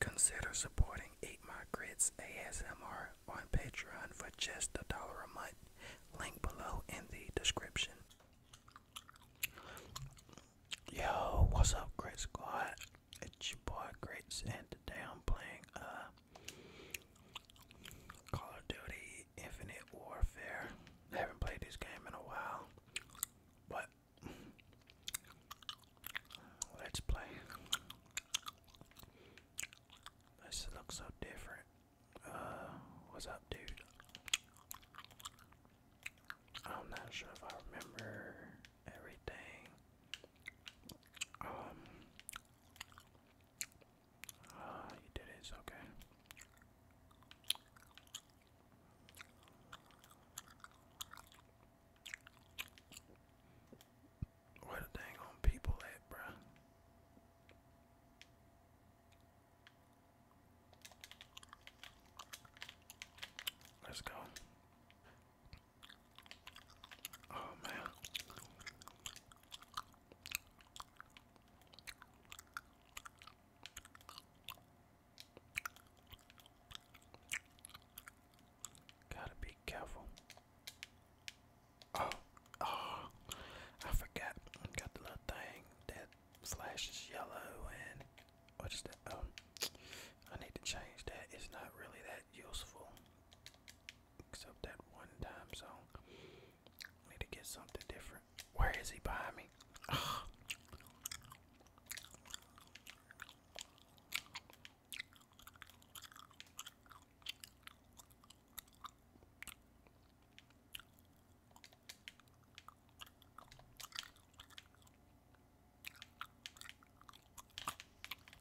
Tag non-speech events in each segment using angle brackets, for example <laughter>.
Consider supporting Eight My Grits ASMR on Patreon for just a dollar a month. Link below in the description. Yo, what's up, Grit Squad? It's your boy Grits, and today I'm playing uh Call of Duty Infinite Warfare. I haven't played this game in a while, but let's play. This looks so different. Uh, what's up, dude? I'm not sure if I remember everything. Um uh, you did it, it's okay. Where the dang on people at, bruh? Let's go. Oh man. Gotta be careful. Oh, oh, I forgot. Got the little thing that flashes yellow and what is that? Um, I need to change that. It's not really that useful. Except that one time song. Need to get something different. Where is he behind me?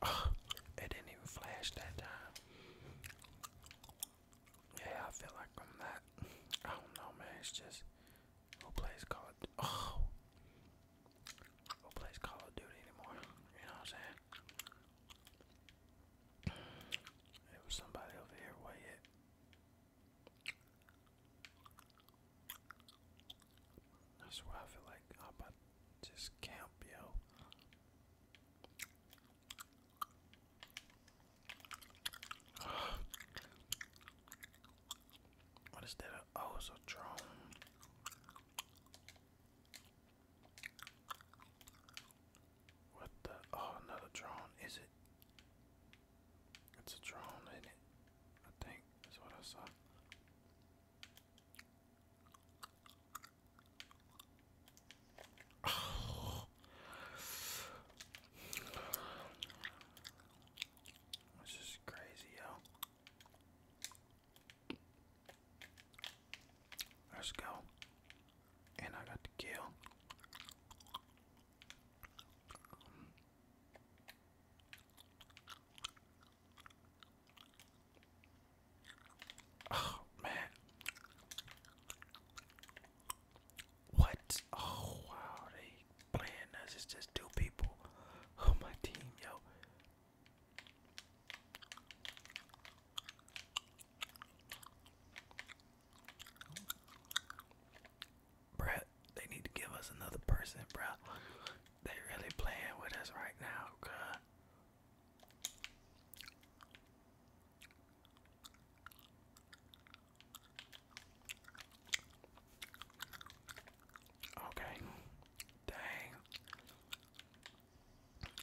<sighs> It didn't even flash that time. Yeah, I feel like I'm I don't know, man. It's just who plays Call Oh, <sighs> who plays Call Duty anymore? You know what I'm saying? There was somebody over here. What yet? That's swear I feel like I'm about just camp, yo. <sighs> what is that? Oh, it's a drone. What the? Oh, another drone, is it? It's a drone, is it? I think is what I saw. <sighs> This is crazy, yo. Let's go. And I got the kill. Oh man. What? Oh wow, they playing us. just two people on oh, my team, yo. Bruh, they need to give us another person, bruh. They really playing with us right now, God. Okay. Dang.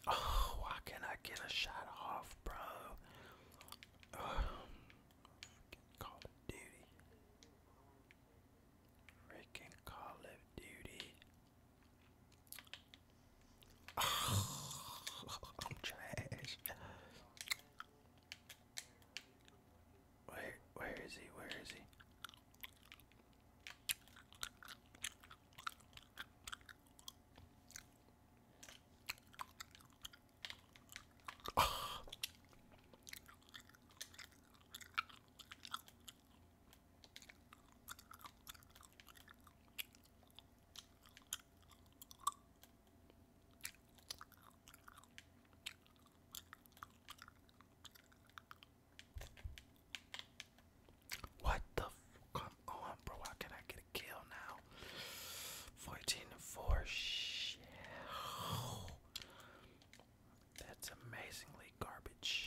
Oh, why can't I get a shot off, bro? Um, Call of Duty. Freaking Call of Duty. <laughs> I'm trash. Where where is he? Where is he? Oh. What the come on, bro? How can I get a kill now? Fourteen four shell. That's amazingly garbage.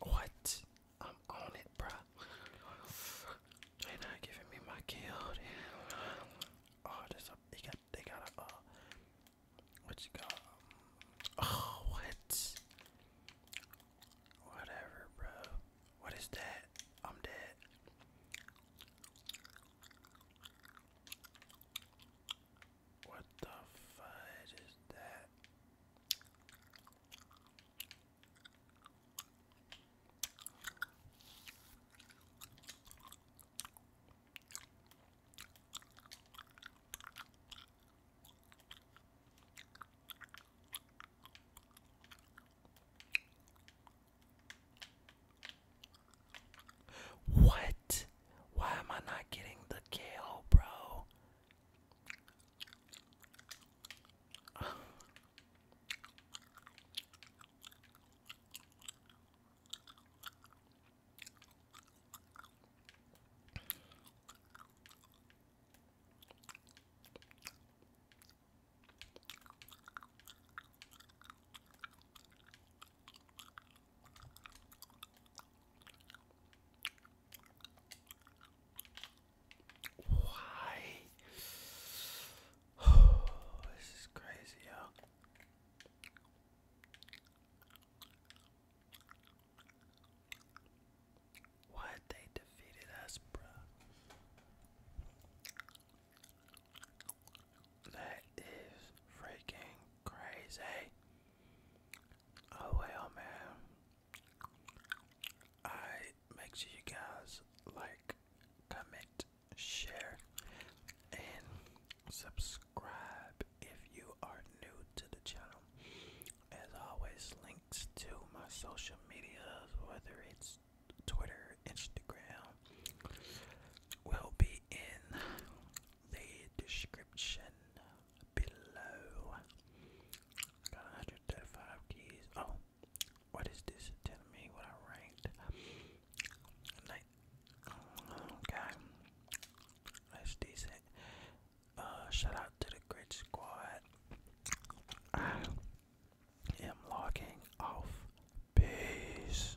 What? I'm on it, bruh. They not giving me my kill. Oh, there's a. They got. They got a. Uh, what you got? Um, oh, what? Whatever, bro. What is that? I'm dead. What the fuck is that? What? Why am I not getting the kill, bro? Why? <sighs> this is crazy, yo. What they defeated us, bro. That is freaking crazy. Oh well, man. I make sure you guys like, comment, share, and subscribe if you are new to the channel. As always, links to my social medias, whether it's Twitter, Instagram, will be in the description below. got 135 keys. Oh, what is this? Tell me what I ranked. Okay, that's decent. Uh, shout out to the great squad. I am logging off. Peace.